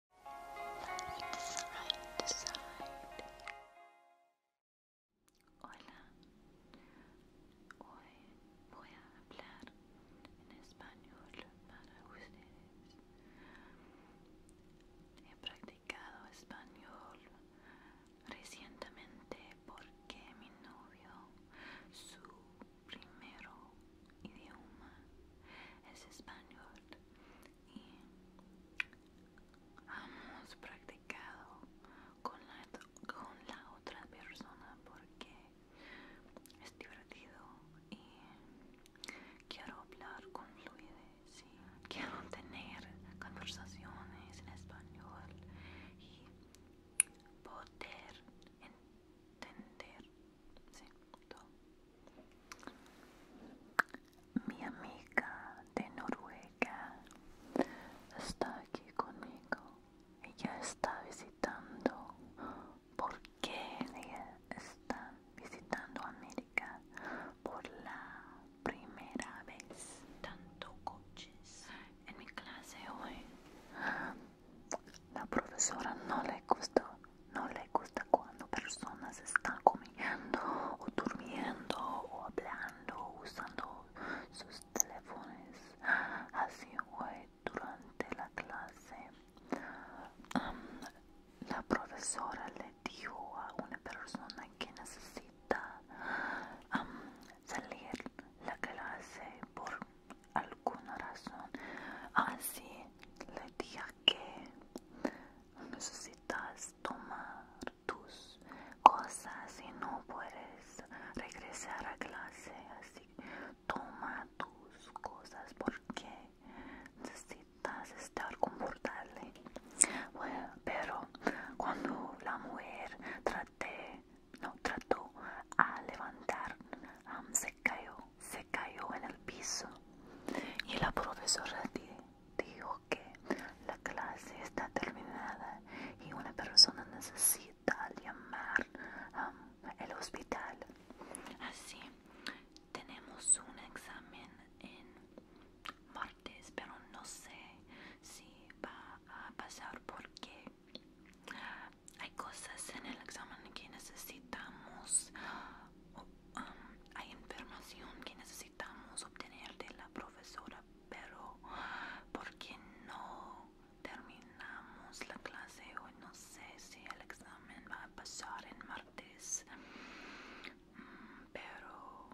Hola, hoy voy a hablar en español para ustedes. He practicado español recientemente porque mi novio, su primero idioma es español y hemos practicado con la, con la otra persona porque es divertido y quiero hablar con fluidez y quiero tener conversaciones en español y poder entender mi amiga de Noruega está aquí conmigo. Ella está visitando. ¿Por qué ella está visitando América por la primera vez? Tanto coches. En mi clase hoy. La profesora no le gustó no le gusta cuando personas están comiendo o durmiendo o hablando usando sus teléfonos. Así fue durante la clase. la profesora le dijo a una persona que necesita salir salir la clase por alguna razón. Así le dije que necesitas tomar tus cosas y no puedes regresar a clase así toma tus cosas porque necesitas estar confortable pero cuando la mujer traté no trató a levantar um, se cayó se cayó en el piso y la profesora dijo que la clase está terminada y una persona necesita llamar al hospital. Así, tenemos un examen en martes, pero no sé si va a pasar porque hay cosas en el examen que necesitamos Um, hay información que necesitamos obtener de la profesora, pero porque no terminamos la clase hoy, no sé si el examen va a pasar el martes, mm, pero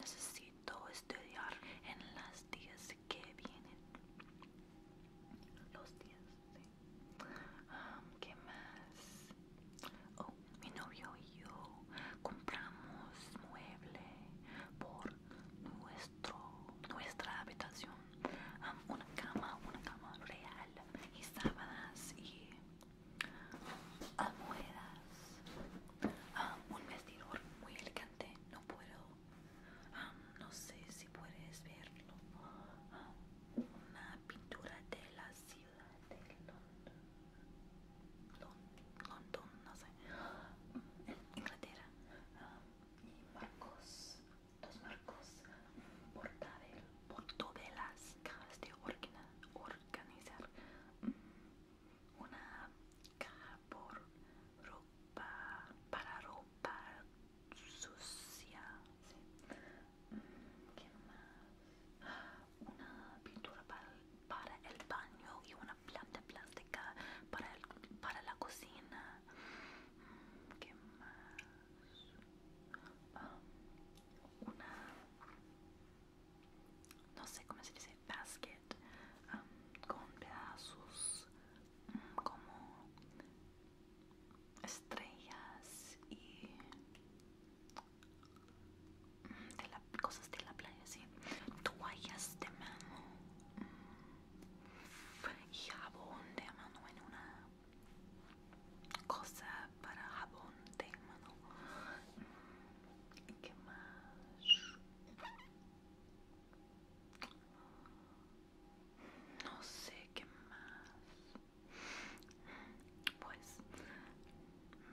necesito estudiar en las días que vienen, los días este, ¿Qué más? Oh, mi novio y yo compramos mueble por nuestro, nuestra habitación. una cama, una cama real y sábanas y almohadas. un vestidor muy elegante. No puedo, no sé si puedes verlo pintura de la ciudad de Londres, Londres, no sé, mm, en Inglaterra, ah, y marcos, dos marcos portabel, portabelas, cajas de organizar, mm, una caja por ropa, para ropa sucia. Sí. Mm, ¿Qué más? Una pintura para, el baño y una planta plástica para, para la cocina. Mm, ¿Qué más? Um, una no sé cómo se dice basket um, con pedazos mm, como estrellas y mm, cosas de la playa, sí, toallas de mano y jabón de mano en una cosa para jabón de mano. ¿Qué más? no sé qué más pues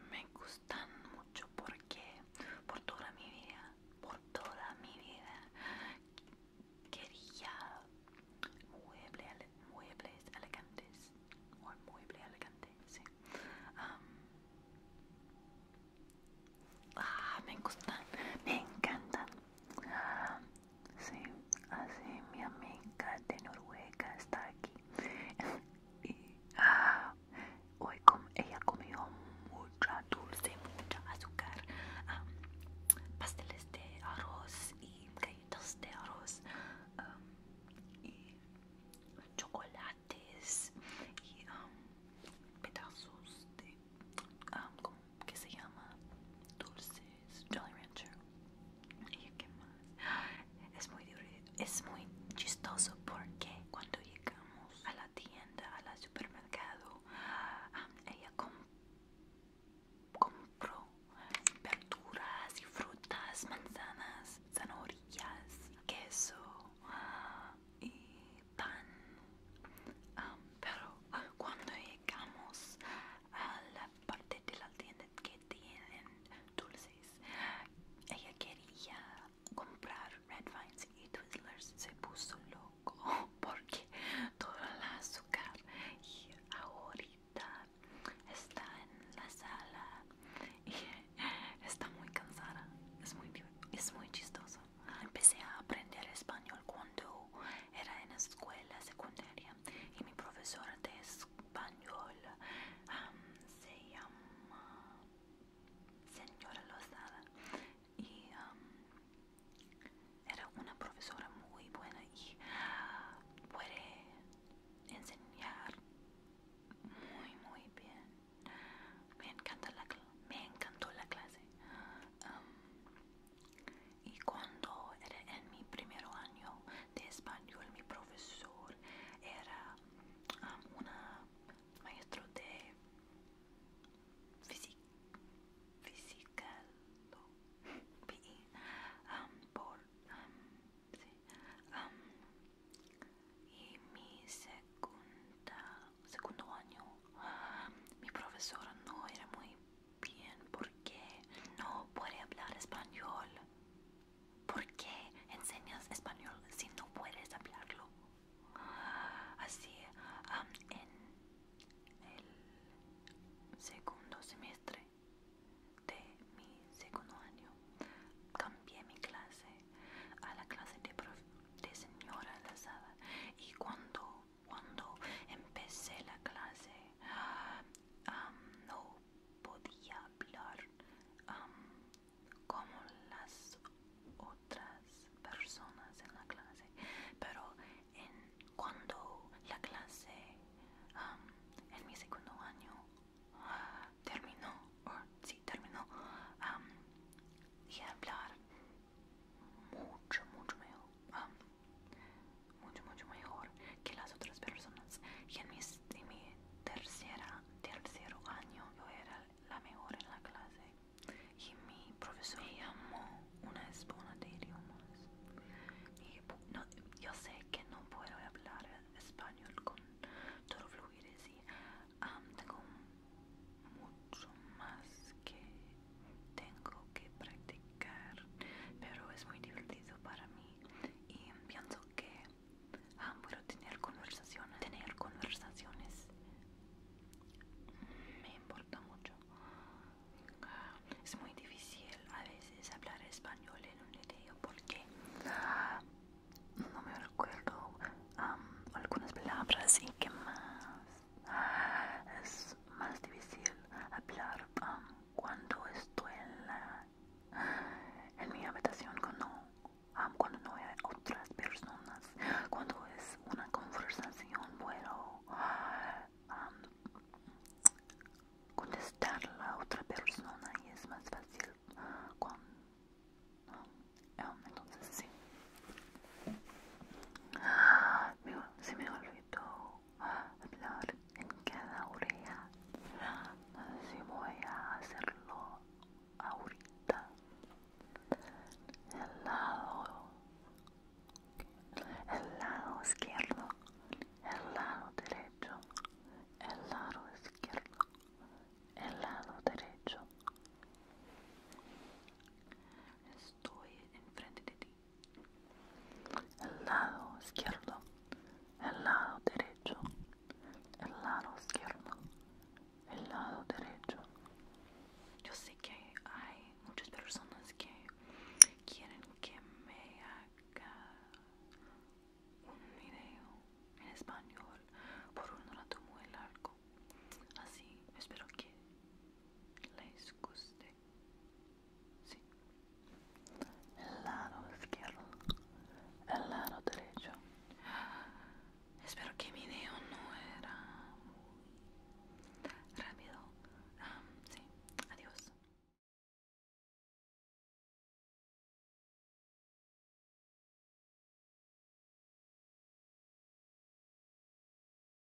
me gustan mucho porque por toda mi vida por toda mi vida quería muebles elegantes o mueble elegantes sí ah me gustan me encantan Sí, así mi amiga de Noruega está aquí. y ah, hoy ella comió mucha dulce, mucha azúcar, pasteles de arroz y galletas de arroz y chocolates y pedazos de que se llama Dulces Jolly Rancher. ¿Y qué más? Es muy, es muy chistoso porque cuando llegamos a la tienda, al supermercado, ah, ella compró verduras y frutas, manzanas, zanahorias, queso y pan. Ah, pero cuando llegamos a la parte de la tienda que tienen dulces. Ella quería comprar Red Vines y Twizzlers. Se puso loco porque todo el azúcar y ahorita está en la sala y está muy cansada. Es muy, es muy chistoso. Empecé a aprender español cuando era en la escuela secundaria y mi profesora de español se llama señora Lozada y era una profesora muy buena y puede enseñar muy muy bien me me encantó la clase y cuando era en mi primer año de español, mi profesor era um, una maestro de física, um, um, y mi segunda segundo año, mi profesor no era muy bien por no puede hablar español. ¿Por qué enseñas español si no puedes hablarlo? Así, en el segundo semestre de mi segundo año, cambié mi clase a la clase de, de señora Lazada y cuando cuando empecé la clase no podía hablar como las otras personas en la clase pero cuando la clase en mi segundo año terminó o sí terminó um, hablar mucho, mucho mejor. Ah, mucho, mucho mejor que las otras personas. Y en, mi tercera, tercer año yo era la mejor en la clase. Y mi profesor me llamó una espona de idiomas. Y yo sé que no puedo hablar español con todo fluidez y ah, tengo mucho más que tengo que practicar pero es muy divertido para mí y pienso que tener conversaciones tener conversaciones me importa mucho es muy difícil a veces hablar español en un video porque ah, no me recuerdo algunas palabras y qué más es más difícil hablar um, cuando estoy en, mi habitación, um, cuando, no hay otras personas, cuando es una conversación puedo um, contestar a la otra persona y es más fácil entonces sí. Ah, sí, me olvidó hablar en cada oreja. Así voy a hacerlo ahorita. El lado, el lado izquierdo, el lado derecho, el lado izquierdo, el lado derecho. Estoy enfrente de ti. el lado izquierdo, el lado derecho, el lado izquierdo, el lado derecho. Yo sé que hay muchas personas que quieren que me haga un video en español por un rato muy largo. Así, espero que les guste. Este. Sí. El lado izquierdo. El lado derecho. Espero que mi video no era muy rápido. sí. Adiós.